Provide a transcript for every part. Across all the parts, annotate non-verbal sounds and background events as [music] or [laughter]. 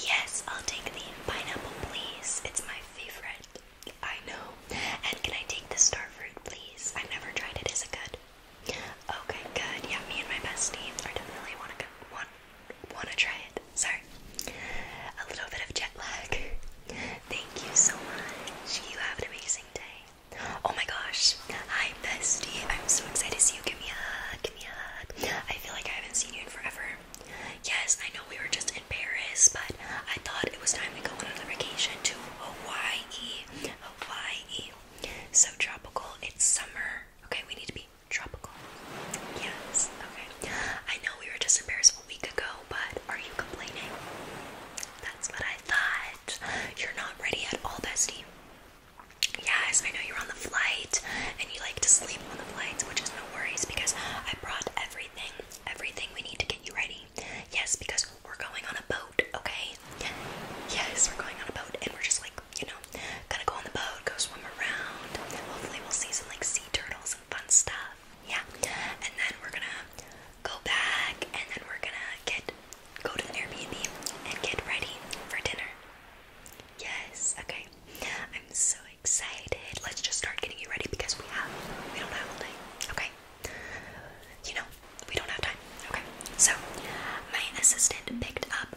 Yes, I'll take the pineapple, please. It's my favorite. I know. And can I take the star fruit, please? I've never tried it. Is it good? Okay, good. Yeah, me and my bestie are definitely want to want want to try it. Sorry, a little bit of jet lag. Thank you so much. You have an amazing day. Oh my gosh. Hi, bestie. I'm so excited to see you. Give me a hug. Give me a hug. I feel like I haven't seen you in forever. Yes, I know we were just in Paris, but I thought it was time to go on a vacation to Hawaii. Hawaii. So tropical, it's summer. Okay, we need to be tropical. Yes, okay. I know we were just in Paris a week ago, but are you complaining? That's what I thought. You're not ready at all, bestie. Yes, I know you're on the flight and you like to sleep on the flights, which is no worries because I brought everything, everything we need to get you ready. Yes, because we're going on a boat, okay? Yes, we're going on a boat and we're just like, you know, gonna go on the boat, go swim around. Hopefully we'll see some like sea turtles and fun stuff. Yeah. And then we're gonna go back and then we're gonna get go to the Airbnb and get ready for dinner. Yes, okay. I'm so excited. Let's just start getting you ready because we have we don't have time. Okay. You know, we don't have time. Okay. So my assistant picked up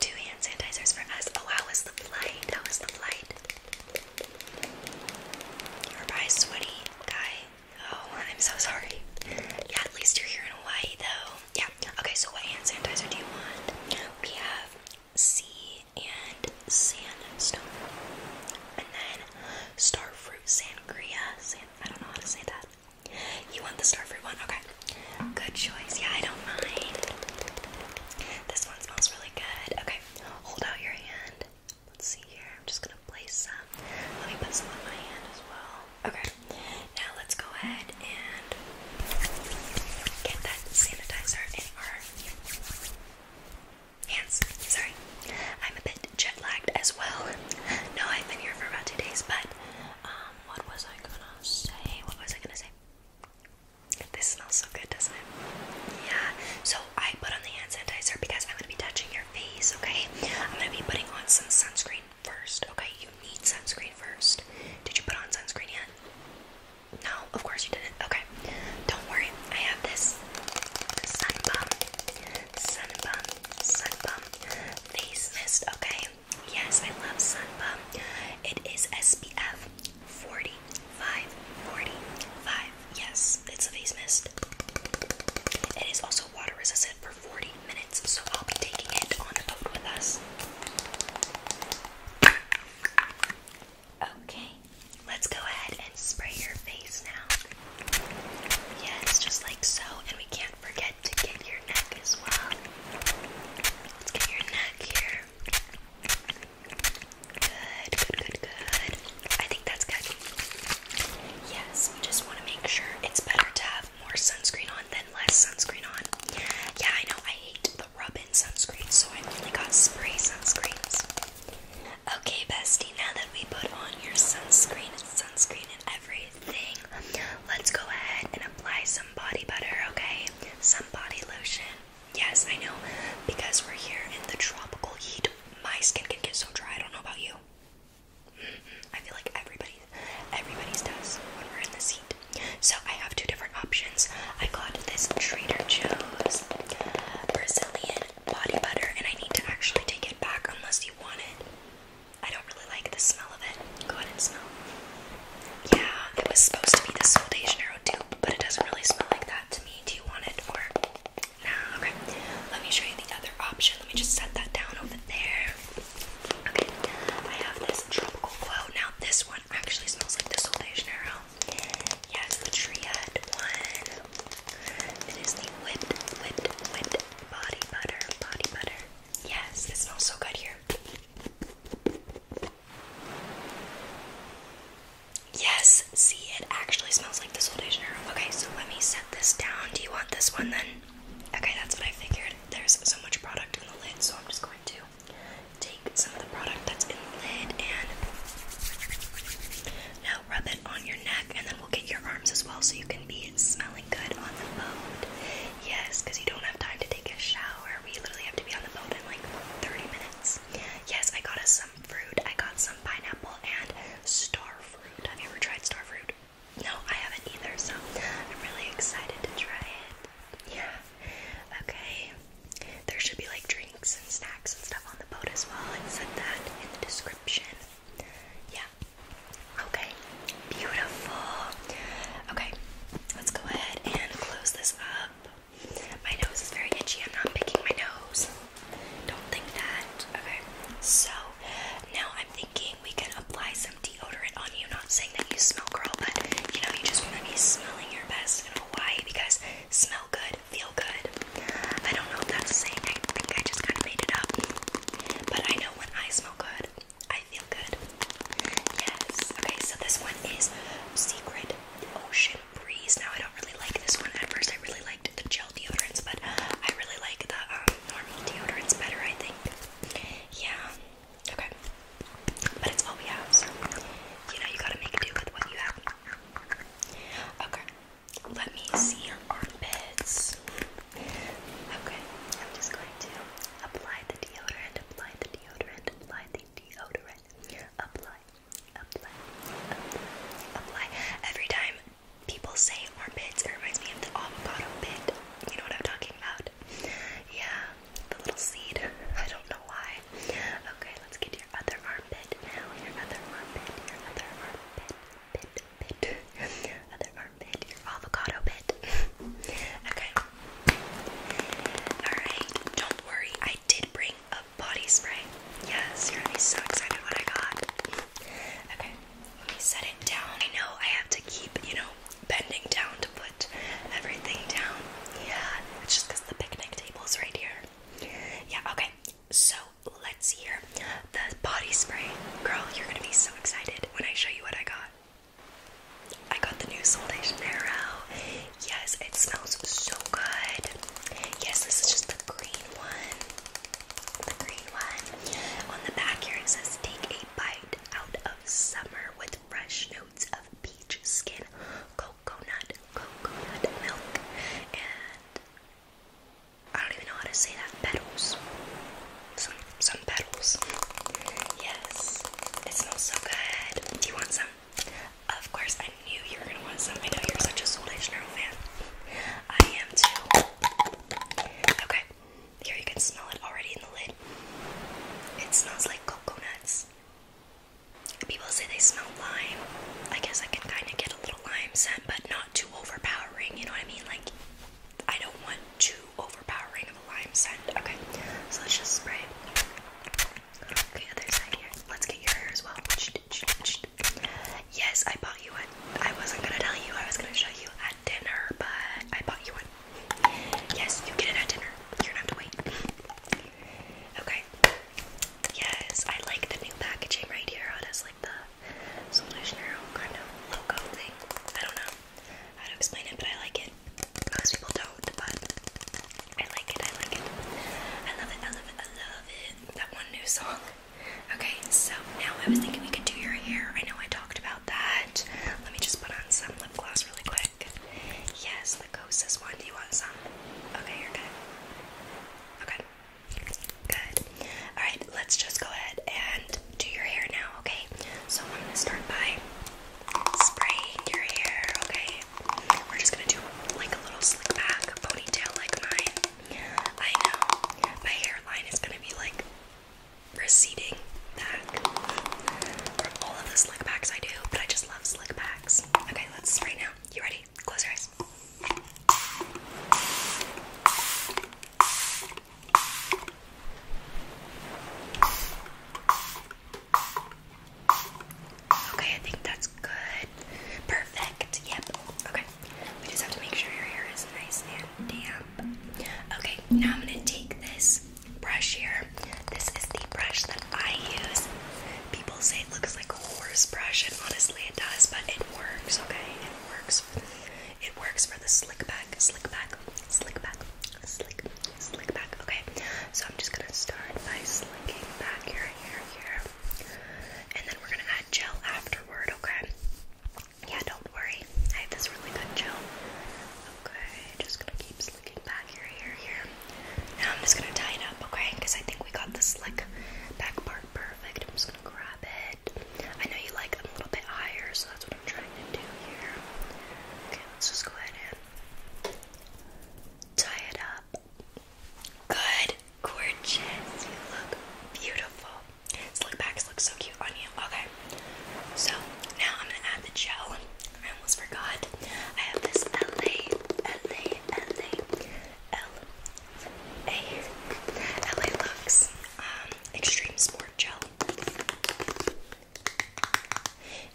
two hand sanitizers for us. Oh, how was the flight? How was the flight? you Your by sweaty guy. Oh, I'm so sorry. Yeah, at least you're here in Hawaii though. Yeah. Okay, so what hand sanitizer do you want? We have sea and sandstone. And then starfruit sangria. San I don't know how to say that. You want the starfruit one? Okay. Good choice. Yeah, I don't mind. This one smells really good. Okay, hold out your hand. Let's see here. I'm just gonna place some. Let me put some on my hand as well. Okay, now let's go ahead and Get that sanitizer in our hands. Sorry, I'm a bit jet lagged as well. No, I've been here for about two days, but um, what was I gonna say? What was I gonna say? This smells so good, doesn't it? Yeah. So I put on the hand sanitizer because I'm gonna be touching your face. Okay. I'm gonna be putting on some sunscreen first. Okay. You need sunscreen first. Did you put on sunscreen yet? No, of course you didn't. Okay, don't worry. I have this sun bum, sun bum, sun bum face mist. Okay, yes, I love sun bum. It is SPF 45, 45. Yes, it's a face mist. It is also water resistant for 40 minutes, so I'll be taking it on the boat with us. Okay, let's go ahead and spray your face now. Yes, just like so. And we can't forget to get your neck as well. Let's get your neck here. Good, good, good, I think that's good. Yes, we just want to make sure it's better to have more sunscreen on than less sunscreen on. Yeah, I know I hate rub-in sunscreen, so I only got spray sunscreens. Okay, bestie, now that we put on your sunscreen and sunscreen and everything, let's go ahead and apply some body butter, okay? Some body lotion. Yes, I know, because we're here in the tropical heat, my skin can get so dry. I don't know about you. Mm-hmm, I feel like everybody, everybody's does when we're in this heat. So I have two different options. I got this Trader Joe's Brazilian body butter, and I need to actually take it back unless you want it. I don't really like the smell of it. Go ahead and smell. Yeah, it was supposed to be the Sol de Janeiro dupe, but it doesn't really smell like that to me. Do you want it or no? Okay, let me show you the other option. Let me just set that down over there. Okay, I have this tropical glow. Now this one one actually smells like the old de Janeiro. Yes, the Triad one. It is the whipped, whipped, whipped body butter, body butter. Yes, it smells so good here. Yes, see, it actually smells like the old de Janeiro. Okay, so let me set this down. Do you want this one then? Okay, that's what I figured. There's so much product in the lid, so I'm just going to take some of the product that's in the lid and now rub it on your neck, and then we'll get your arms as well so you can be smelling good on the boat. Yes, because you don't have time to take a shower. We literally have to be on the boat in like 30 minutes. Yes, I got us some fruit. I got some pineapple and star fruit. Have you ever tried star fruit? No, I haven't either, so I'm really excited to try it. Yeah. Okay. There should be like drinks and snacks and stuff on the boat as well. It said that in the description. Yeah. Okay. Beautiful. Okay. Let's go ahead and close this up. My nose is very itchy. I'm not picking my nose. Don't think that. Okay. So now I'm thinking we can apply some deodorant on you. Not saying that you smell girl, but you know, you just want to be smelling your best in Hawaii because smell good, feel good. I don't know if that's a saying, I think I just kind of made it up. But I know when I smell good, I feel good. Yes. Okay, so this one is Secret Ocean Breeze. Now, I don't really like this one at first. I really liked the gel deodorants, but I really like the um, normal deodorants better, I think. Yeah. Okay. But it's what we have, so you know you gotta make do with what you have. Okay. Let me see your armpits. Okay. I'm just going to apply the deodorant, apply the deodorant, apply the deodorant. apply, apply, apply. Every time people say armpits, it reminds me of the avocado pit. You know what I'm talking about? Yeah, the little seed. [laughs] I don't know why. Okay, let's get your other armpit now. Your other armpit, your other armpit, pit, pit, [laughs] other armpit, your avocado pit. [laughs] okay. Alright, don't worry, I did bring a body spray. Yes, you're gonna be so excited what I got. Okay, let me set it down. I know I have to keep, you know, bending down to put everything down. Yeah, it's just because the picnic table's right here. Yeah, okay. So let's hear the body spray. Girl, you're gonna be so excited when I show you what I got. I got the new Sol de Janeiro. Yes, it smells so good. Yes, this is just the green one. The green one. On the back here it says, Take a bite out of summer with fresh notes of peach skin, coconut, coconut milk, and I don't even know how to say that. Petals. Some some petals. Yes. It smells so good. Do you want some? Of course, I knew you were gonna want some. I know you're such a Soul National fan. I am too. Okay. Here you can smell it already in the lid. It smells like coconuts. People say they smell lime. I guess I can kind of get a little lime scent, but not too overpowering. You know what I mean? Like, I don't want too overpowering of a lime scent. Okay, so let's just spray. Okay, other side here. Let's get your hair as well. Yes, I bought you one. I wasn't gonna tell you. I was gonna show you at dinner, but I bought you one. Yes, you get it at dinner. You're gonna have to wait. Okay. Yes, I like the new packaging right here. It oh, has like the Sol de Janeiro kind of logo thing. I don't know how to explain it, but I like it. Most people don't, but I like it. I like it. I love it. I love it. I love it. That one new song. Okay, so now I was thinking we could do your hair. I know I talked about that. Let me just put on some lip gloss really quick. Yes, the closest one. Do you want some? Okay, you're good. Okay. Good. Alright, let's just go ahead and do your hair now, okay? So I'm gonna start by spraying your hair, okay? We're just gonna do like a little slick back ponytail like mine. I know. My hairline is gonna be like receding back or all of the slick backs I do, but I just love slick backs. Okay, let's spray now. You ready? Close your eyes. Okay, I think that's good. Perfect. Yep. Okay. We just have to make sure your hair is nice and damp. Okay, now I'm gonna take this brush here. This is the brush that I use. People say it looks like a horse brush, and honestly, it does, but it works, okay? It works. It works for the slick back, slick back, slick back, slick, slick back, okay? So I'm just gonna start by slicking back your hair here. And then we're gonna add gel afterward, okay? Yeah, don't worry. I have this really good gel. Okay, just gonna keep slicking looking back here, here, here. Now I'm just gonna tie it up, okay? Because I think we got this like back part perfect. I'm just gonna grab it. I know you like them a little bit higher, so that's what I'm trying to do here. Okay, let's just go ahead and tie it up. Good, gorgeous. You look beautiful. Slick backs look so cute on you. Okay, so now I'm gonna add the gel. I almost forgot. I have this LA, LA, LA, LA, LA Lux um, Extreme Sport Gel.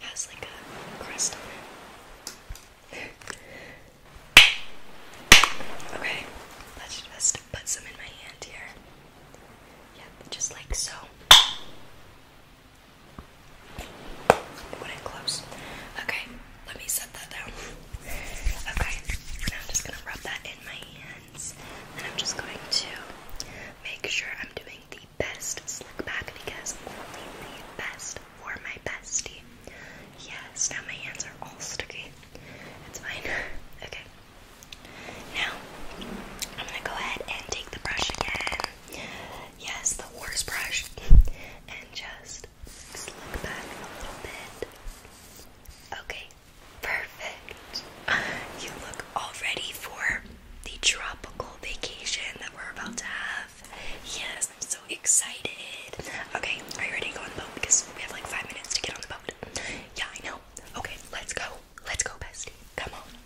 Has like a crust on it. okay, let's just put some in my hand here. Yep, just like so. Put it close. Okay, let me set that down. Okay, now I'm just gonna rub that in my hands, and I'm just going to make sure I'm doing the best slick back because only the best for my bestie. Yes, now my hands are all sticky. It's fine. [laughs] okay. Now, I'm gonna go ahead and take the brush again. Yes, the horse brush. and just look back a little bit. Okay, perfect. You look all ready for the tropical vacation that we're about to have. Yes, I'm so excited. Okay, are you ready to go on the boat? Because we have like five minutes to get on the boat. Yeah, I know. Okay, let's go. Let's go, bestie. Come on.